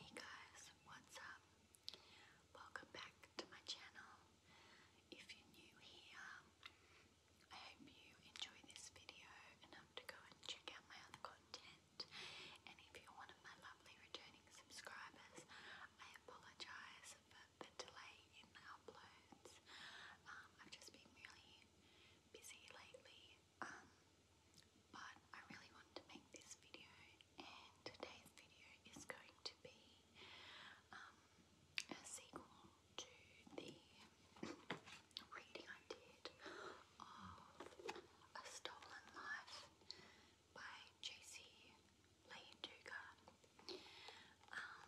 Hey guys, what's up? Welcome back to my channel. If you're new here, I hope you enjoy this video enough to go and check out my other content. And if you're one of my lovely returning subscribers, I apologise for the delay in the uploads. Um, I've just been really busy lately um, but I really wanted to make this video, and today's video is going to be um, a sequel to the reading I did of A Stolen Life by J.C. Lee Um,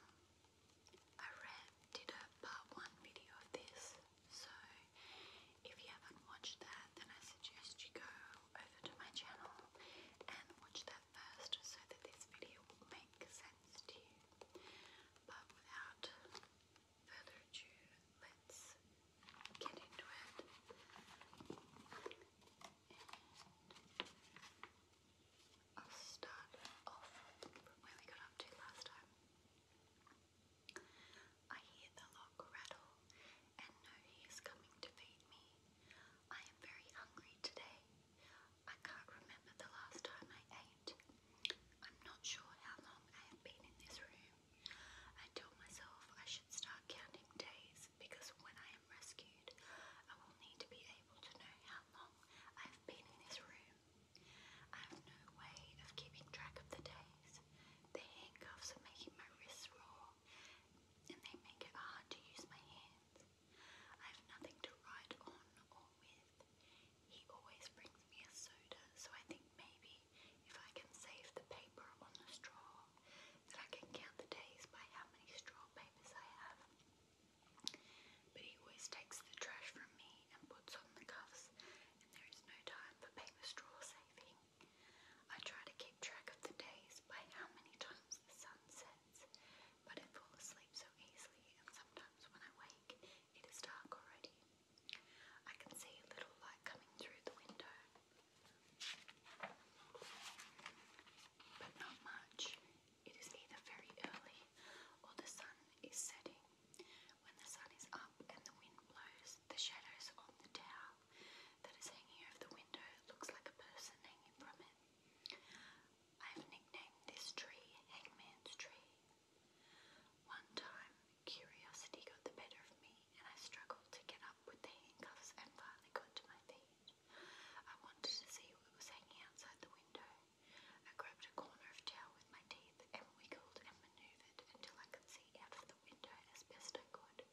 I read, did a part one video of this so if you haven't watched that, then I suggest you go over to my channel and watch that first so that this video will make sense to you. But without further ado, let's get into it. I'll start off from where we got up to last time. I hear the log rattle and know he is coming to feed me. I am very hungry today. I can't remember the last time I ate. I'm not sure how long I have been in this room. I tell myself I should start counting days because when I am rescued, I will need to be able to know how long I have been in this room. I have no way of keeping track of the days. The handcuffs are making my wrists raw, and they make it hard to use my hands. I have nothing to write on or with. He always brings me a soda, so I think maybe if I can save the paper on the straw, I can count the days by how many straw papers I have. But he always takes the trash from me and puts on the cuffs there is no time for paper straw saving. I try to keep track of the days by how many times the sun sets, but I fall asleep so easily, and sometimes when I wake, it is dark already. I can see a little light coming through the window, but not much. It is either very early or the sun is setting. When the sun is up and the wind blows, the shadows on the towel that is hanging over the window looks like a person hanging from it. I have nicknamed this tree Hangman's Tree. One time, curiosity got the better of me and I struggled to get up with the handcuffs and finally got to my feet. I wanted to see what was hanging outside the window. I grabbed a corner of towel with my teeth and wiggled and maneuvered until I could see out of the window as best I could.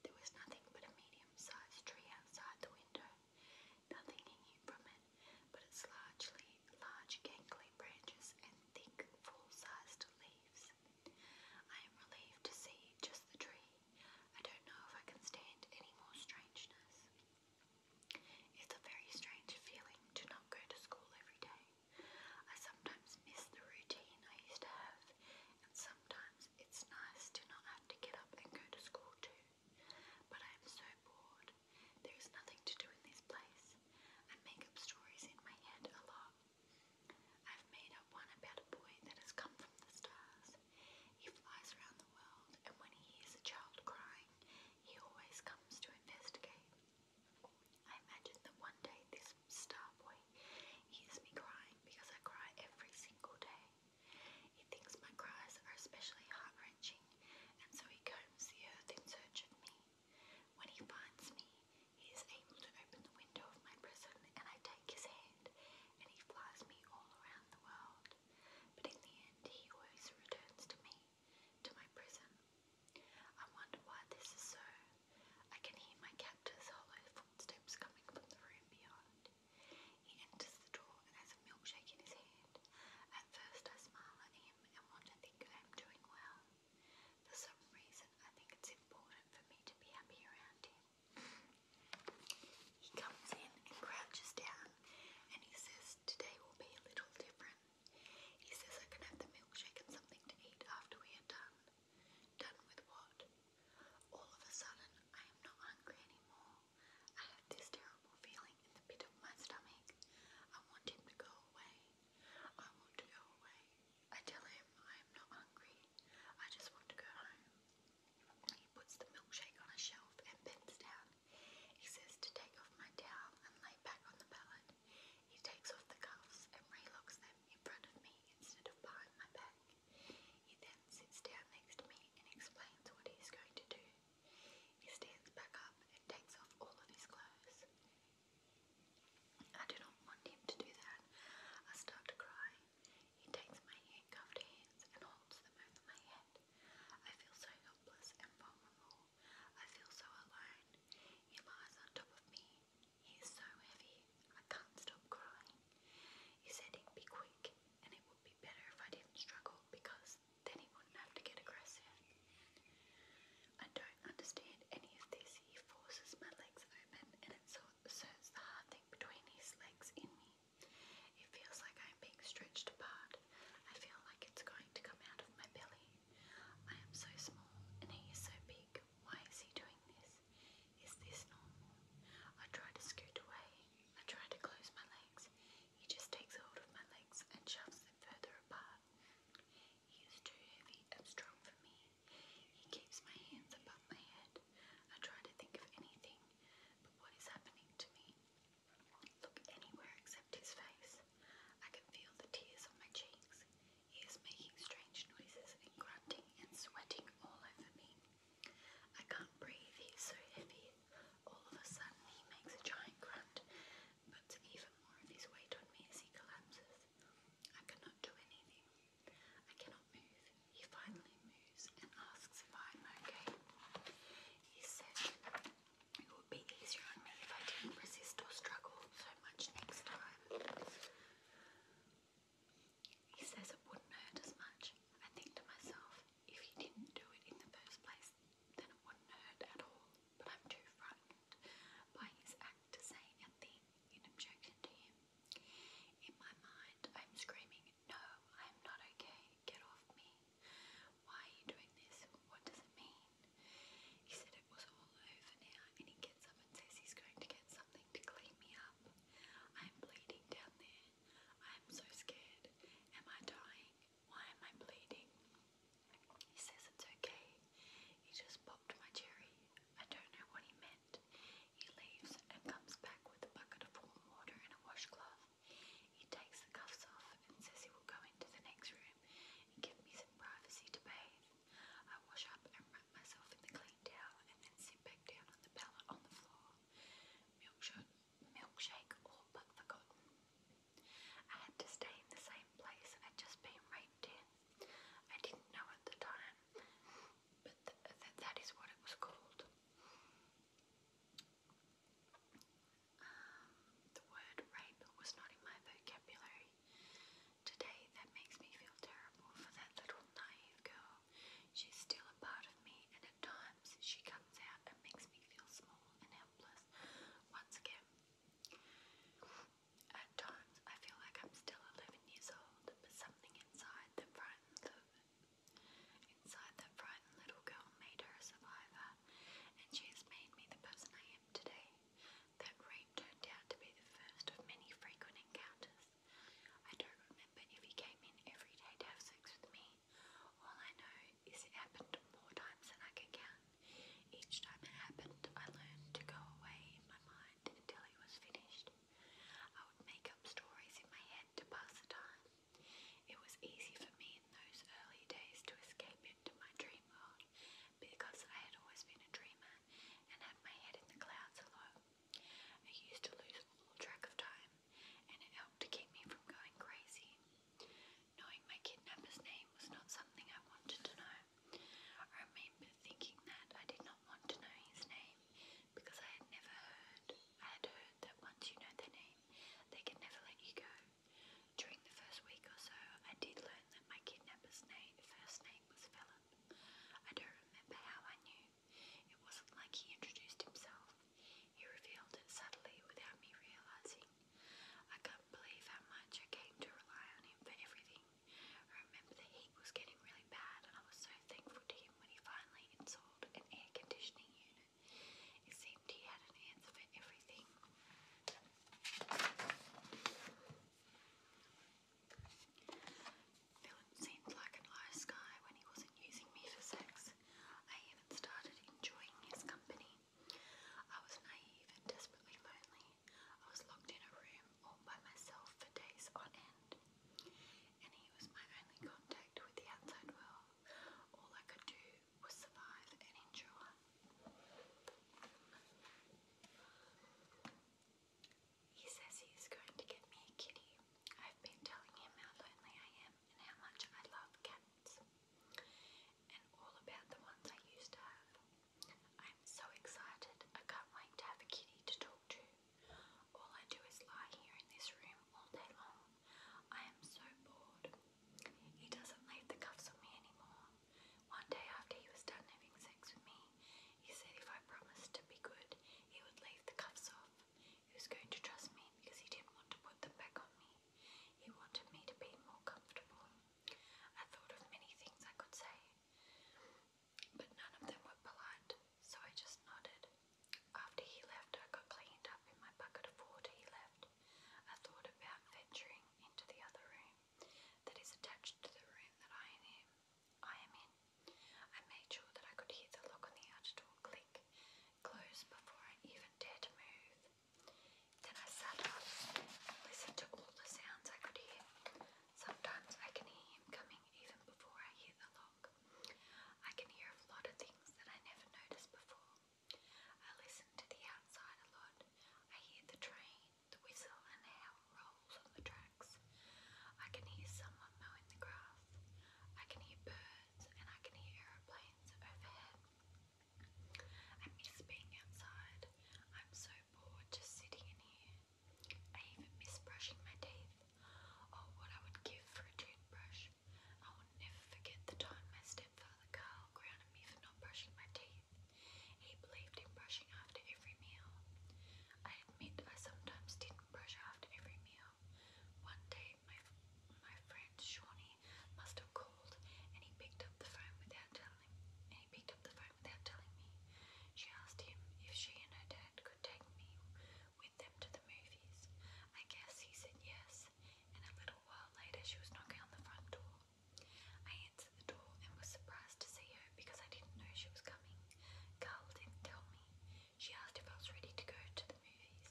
There was nothing but a medium-sized tree outside the window, nothing hanging from it, but its largely large gangly branches and thick, full-sized leaves. I am relieved to see just the tree. I don't know if I can stand any more strangeness. It's a very strange feeling to not go to school every day. I sometimes miss the routine I used to have, and sometimes it's nice to not have to get up and go to school too. But I am so bored. There is nothing to do in this place. I make up stories in my head a lot. I've made up one about a boy that has come from the stars. He flies around the world, and when he hears a child crying, he always comes to investigate. I imagine that one day this star boy hears me crying because I cry every single day. He thinks my cries are especially heart wrenching, and so he combs the earth in search of me. When he finds me, he is able to open the window of my prison, and I take his hand, and he flies me all around the world. But in the end, he always returns to me, to my prison. I wonder why this is so. I can hear my captor's hollow footsteps coming from the room beyond. He enters the door and has a milkshake in his hand. At first I smile at him and want to I am doing well. For some reason I think it's important for me to be happy around him. He comes in and crouches down and he says today will be a little different. He says I can have the milkshake and something to eat after we are done. Done with what? All of a sudden, I am not hungry anymore. I have this terrible feeling in the pit of my stomach. I want him to go away. I want to go away. I tell him I am not hungry. I just want to go home. He puts the milkshake on a shelf and bends down he says to take off my towel and lay back on the pallet. He takes off the cuffs and relocks them in front of me instead of behind my back. He then sits down next to me and explains what he is going to do. He stands back up and takes off all of his clothes. I do not want him to do that. I start to cry. He takes my handcuffed hands and holds them over my head. I feel so helpless and vulnerable. I feel so alone. He lies on top of me. He so heavy. I can't stop crying. He said he'd be quick and it would be better if I didn't struggle because then he wouldn't have to get aggressive. I don't understand any of this. He forces my legs open and it so inserts the hard thing between his legs in me. It feels like I'm being stretched apart. I feel like it's going to come out of my belly. I am so small and he is so big. Why is he doing this? Is this normal? I try to scoot away. I try to close my legs. He just takes hold of my legs and shoves them further apart. He is too heavy and strong for me. He keeps my hands above my head. I try to think of anything, but what is happening to me? look anywhere except his face. I can feel the tears on my cheeks. He is making strange noises and grunting and sweating all over me. I can't breathe, he so heavy. All of a sudden, he makes a giant grunt, puts even more of his weight on me as he collapses. I cannot do anything. I cannot move. He finally moves and asks if I'm okay. He said, it would be easier on me if I didn't resist or struggle so much next time. He says it wouldn't hurt as much. I think to myself, if you didn't do it in the first place, then it wouldn't hurt at all. But I'm too frightened by his act to say a in objection to him. In my mind, I'm screaming no, I'm not okay. Get off me. Why are you doing this? What does it mean? He said it was all over now, and he gets up and says he's going to get something to clean me up. I'm bleeding down there. I'm so scared. Am I dying? Why am I bleeding? He says it's okay. He just popped my cherry. I don't know what he meant. He leaves and comes back with a bucket of warm water and a washcloth. He takes the cuffs off and says he will go into the next room and give me some privacy to bathe. I wash up and wrap myself in the clean towel and then sit back down on the pallet on the floor. Milkshake, milkshake all but forgotten. I had to stay in the same place I'd just been raped in. I didn't know at the time, but that is what it was called. Um, the word rape was not in my vocabulary today. That makes me feel terrible for that little naive girl. She's still a part of me, and at times she comes out and makes me feel small and helpless once again. At times I feel like I'm still 11 years old, but something inside that frightens Inside that frightened little girl made her a survivor, and she has made me the person I am today. That rape turned out to be the first of many frequent encounters. I don't remember if he every day to have sex with me. All I know is it happened more times than I can count. Each time it happened, I learned to go away in my mind until it was finished. I would make up stories in my head to pass the time. It was easy for me in those early days to escape into my dream world because I had always been a dreamer and had my head in the clouds a lot. I used to lose all track of time and it helped to keep me from going crazy. Knowing my kidnapper's name was not something I wanted to know. I remember thinking that I did not want to know his name because I had never heard, I had heard that once you know their name, they can never let you go. During the first week or so, I did learn that my kidnapper's name, first name was Philip. I don't remember how I knew. It wasn't like he introduced himself. He revealed it subtly without me realizing. I can't believe how much I came to rely on him for everything. remember the heat was getting really bad and I was so thankful to him when he finally installed an air conditioning unit. It seemed he had an answer for everything. Philip seemed like a nice guy when he wasn't using me for sex. I even started enjoying his company. I was naive and desperately lonely. I was locked in a room all by myself for days on end, and he was my only contact with the outside world. All I could do was survive and endure. He says he going to get me a kitty. I've been telling him how lonely I am and how much I love cats, and all about the ones I used to have. I'm so excited, I can't wait to have a kitty to talk to. All I do is lie here in this room all day long I am so bored. He doesn't leave the cuffs on me anymore. One day after he was done having sex with me, he said if I promised to be good, he would leave the cuffs off. He was going to trust me because he didn't want to put them back on me. He wanted me to be more comfortable. I thought of many things I could say, but none of them were polite, so I just nodded. After he left, I got cleaned up in my bucket of water he left. I thought about venturing into the other room that is attached to the room that I am I am in. I made sure that I could hear the lock on the outer door click, close before I even dared to move. Then I sat up and listened to all the sounds I could hear. Sometimes I can hear him coming even before I hear the lock. I can hear a lot of things that I never noticed before. I listen to the outside a lot. I hear the train, the whistle, and how it rolls on the tracks. I can hear someone mowing the grass. I can hear birds, and I can hear aeroplanes overhead. I miss being outside. I'm so bored just sitting in here. I even miss brushing my teeth, or oh, what I would give for a toothbrush. I will never forget the time my stepfather Carl grounded me for not brushing my teeth. He believed in brushing after every meal. I admit I sometimes didn't brush after every meal. One day my my friend Shawnee must have called and he picked up the phone without telling and he picked up the phone without telling me. She asked him if she and her dad take me with them to the movies. I guess he said yes, and a little while later she was knocking on the front door. I answered the door and was surprised to see her because I didn't know she was coming. Carl didn't tell me. She asked if I was ready to go to the movies.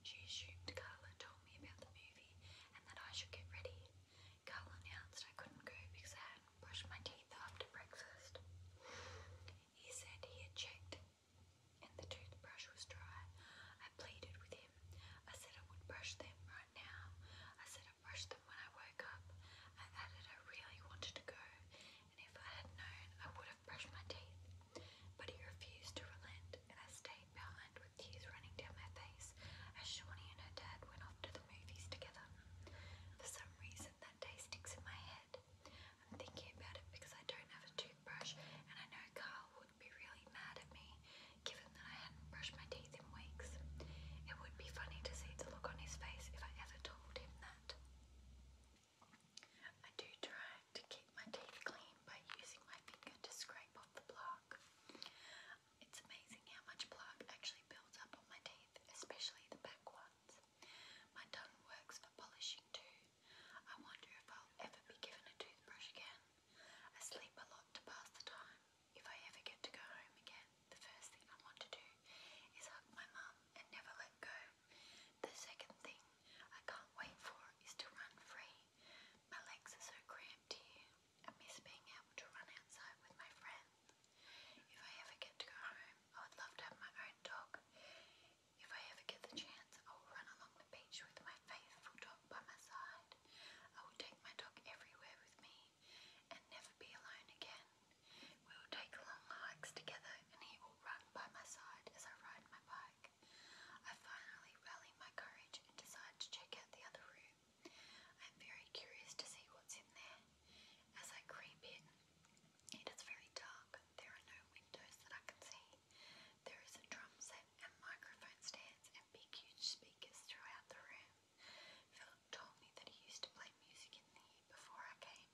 She assumed Carla told me about the movie and that I should get ready. Carl announced I couldn't go because I hadn't brushed my teeth after breakfast. He said he had checked and the toothbrush was dry. I pleaded with him. I said I would brush them right now. I said I brushed them when I woke up. I added I really wanted to go, and if I had known, I would have brushed my teeth. But he refused to relent, and I stayed behind with tears running down my face as Shawnee and her dad went off to the movies together. For some reason, that day sticks in my head. I'm thinking about it because I don't have a toothbrush, and I know Carl would be really mad at me given that I hadn't brushed my teeth in weeks. It would be funny to see the look on his face if I ever told him that. I do try to keep my teeth clean by using my finger to scrape off the plaque. It's amazing how much plaque actually builds up on my teeth, especially the back ones. My tongue works for polishing too. I wonder if I'll ever be given a toothbrush again. I sleep a lot to pass the time. If I ever get to go home again, the first thing I want to do is hug my mum and never let go. The second thing I can't wait for is to run free. My legs are so cramped here. I miss being able to run outside with my friends. If I ever get to go home, I would love to have my own dog. If I ever get the chance, I will run along the beach with my faithful dog by my side. I will take my dog everywhere with me and never be alone again. We will take long hikes together and he will run by my side as I ride my bike. I finally rally my courage and decide to check out the other room. I am very curious to see what's in there. As I creep in, it is very dark there are no windows that I can see. There is a drum set and microphone stands and big huge speakers throughout the room. Philip told me that he used to play music in here before I came.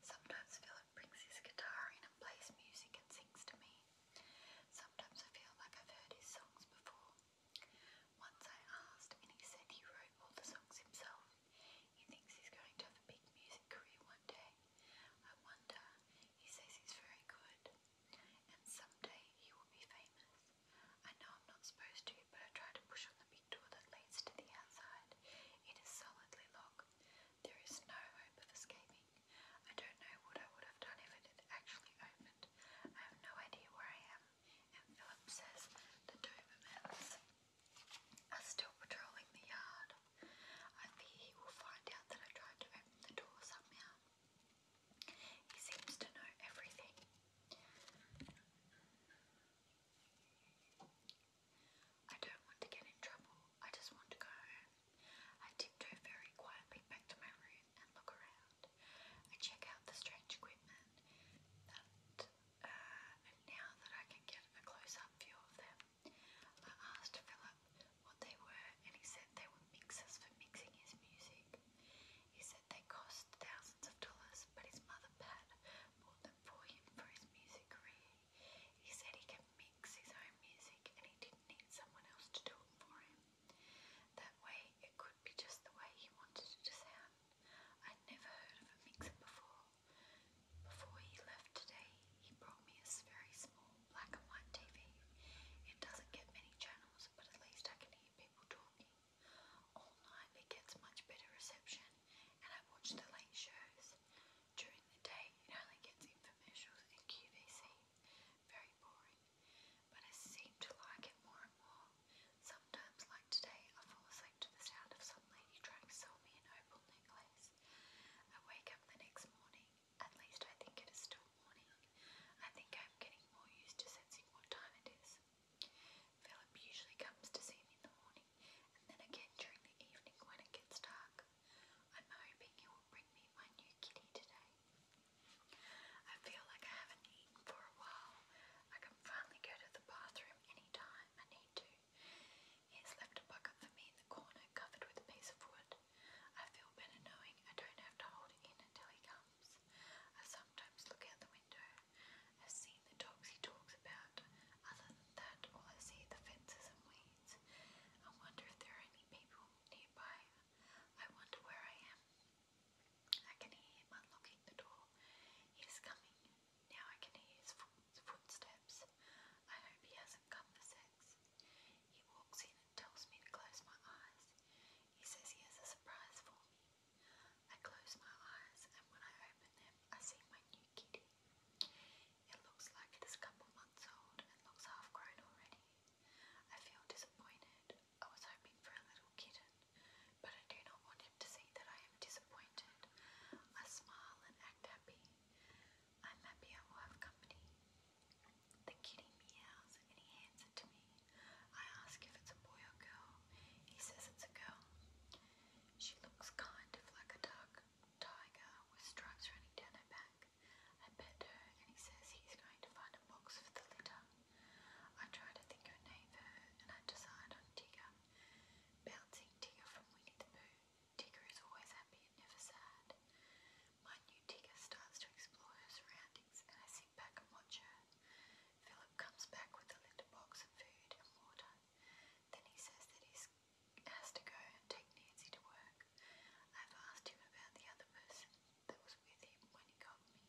Sometimes Philip brings his guitar in and plays music and sings to me. Sometimes I feel like I've heard his songs before. Once I asked and he he wrote all the songs himself. He thinks he's going to have a big music career one day. I wonder, he says he's very good, and someday he will be famous. I know I'm not supposed to, but I try to push on the big door that leads to the outside. It is solidly locked. There is no hope of escaping. I don't know what I would have done if it had actually opened. I have no idea where I am. And Philip says the Dobermans are still patrolling the yard. I fear he will find out that I tried to open the door somehow. He seems to know everything. I don't want to get in trouble. I just want to go home. I tiptoe very quietly back to my room and look around. I check out the strange equipment that uh, and now that I can get a close-up view of them, I asked Philip what they were, and he said they were mixers for mixing his music. He said they cost thousands of dollars, but his mother Pat bought them for him for his music career. He said he can mix his own music, and he didn't need someone else to do it for him. That way, it could be just the way he wanted it to sound. I'd never heard of a mixer before, before he left today, he brought me a very small black and white TV. It doesn't get many channels, but at least I can hear people talking. All night it gets much better reception, and I watch the late shows. During the day, it only gets infomercials and QVC. Very boring. But I seem to like it more and more. Sometimes, like today, I fall asleep to the sound of some lady trying so got me an opal necklace. I wake up the next morning, at least I think it is still morning. I think I'm getting more used to sensing what time it is. Philip usually comes to see me in the morning and then again during the evening when it gets dark. I'm hoping he will bring me my new kitty today. I feel like I haven't eaten for a while. I can finally go to the bathroom anytime I need to. He's left a bucket for me in the corner, covered with a piece of wood. I feel better knowing I don't have to hold it in until he comes. I sometimes look out the window. I've seen the dogs he talks about. Other than that, all I see are the fences and weeds. I wonder if there are any people nearby. I wonder where I am. I can hear him unlocking the door. He is coming. Now I can hear his footsteps. I hope he hasn't come for sex. He walks in and tells me to close my eyes. He says he has a surprise for me. I close my eyes, and when I open them, I see my new kitty. It looks like it is a couple months old and looks half grown already. I feel disappointed. I was hoping for a little kitten, but I do not want him to see that I am disappointed. I smile and act happy. I'm happy I will have company. The kitty meows and he hands it to me. I ask if it's a boy or girl. He says it's a girl. She looks kind of like a dark tiger with stripes running down her back. I pet her and he says he's going to find a box for the litter. I try to think of a name for her and I decide on Tigger. Bouncing Tigger from Winnie the Pooh. Tigger is always happy and never sad. My new Tigger starts to explore her surroundings and I sit back and watch her. Philip comes back with a litter box of food and water. Then he says that he has to go and take Nancy to work. I've asked him about the other person that was with him when he got me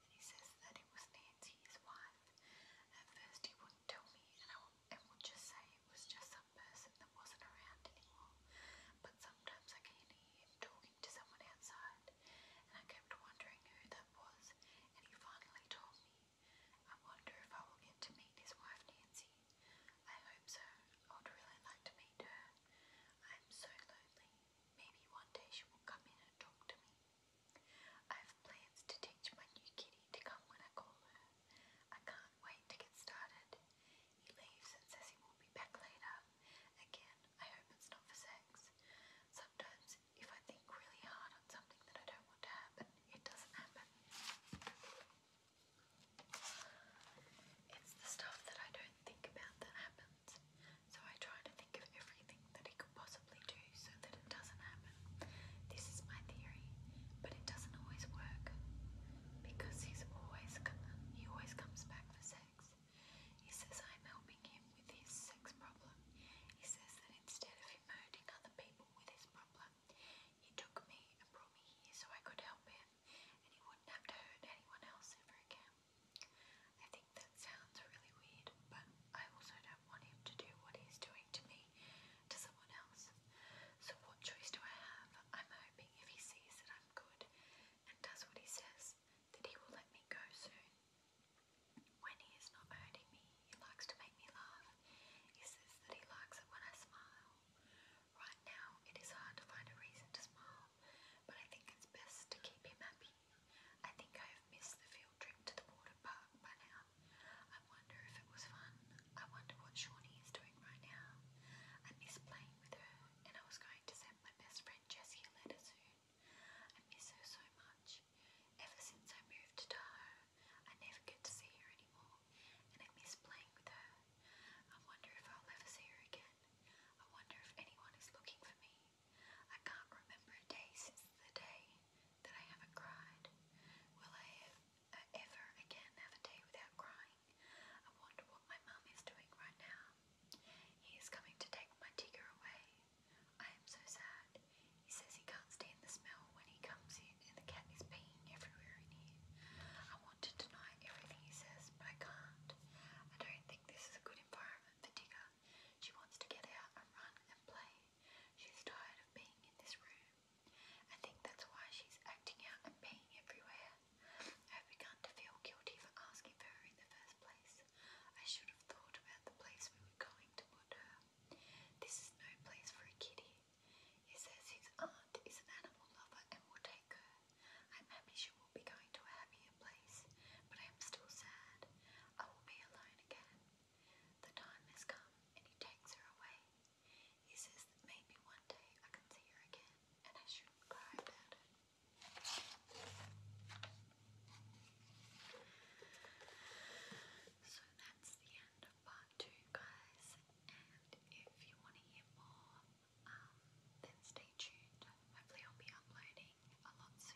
and he says that it was Nancy, his wife. At first he wouldn't tell me and I would, just say it was just some person that wasn't around anymore. But sometimes I can hear talking to someone outside and I kept wondering who that was and he finally told me. I wonder if I will get to meet his wife Nancy. I hope so. I would really like to meet her. I am so lonely. Maybe one day she will come in and talk to me. I have plans to teach my new kitty to come when I call her. I can't wait to get started. He leaves and says he will be back later. Again, I hope it's not for sex. Sometimes, if I think really hard on something that I don't want to happen, it doesn't happen. It's the stuff that I don't think about that happens. So I try to think of everything that he could possibly possibly do so that it doesn't happen. This is my theory, but it doesn't always work because he's always he always comes back for sex. He says I'm helping him with his sex problem. He says that instead of him hurting other people with his problem, he took me and brought me here so I could help him, and he wouldn't have to hurt anyone else ever again. I think that sounds really weird, but I also don't want him to do what he's doing to me to someone else. So, what choice do I have? I'm hoping if he sees that I'm good and does what he says, that he will let me go soon. When he is not hurting me, he likes to make me laugh. He says that he likes it when I smile. Right now, it is hard to find a reason to smile, but I think it's best to keep him happy. I think I have missed the field trip to the water park by now. I wonder if it was fun. I wonder what Shawnee is doing right now. I miss playing with her, and I was going to send my best friend Jessie a letter soon. I miss her so much. Ever since I moved to Tahoe, I never get to see her anymore, and I miss playing with her. I wonder if I'll ever see her again. I wonder if anyone is looking for me. I can't remember a day since the day that I haven't cried. Will I uh, ever again have a day without crying? I wonder what my mum is doing right now. He is coming to take my Tigger away. I am so sad. He says he can't stand the smell when he comes in and the cat is peeing everywhere in here. I want to deny everything he says, but I can't. I don't think this is a good environment for Tigger. She wants to get out and run and play. She's tired of being in this room. I think that's why she's acting out and being everywhere. I've begun to feel guilty for asking her in the first place. I should have thought about the place we were going to put her. This is no place for a kitty. He says his aunt is an animal lover and will take her. I'm happy she will be going to a happier place, but I am still sad. I will be alone again. The time has come, and he takes her away. He says that maybe one day I can see her again, and I shouldn't cry So that's the end of part two, guys. And if you want to hear more, um, then stay tuned. Hopefully, I'll be uploading a lot soon.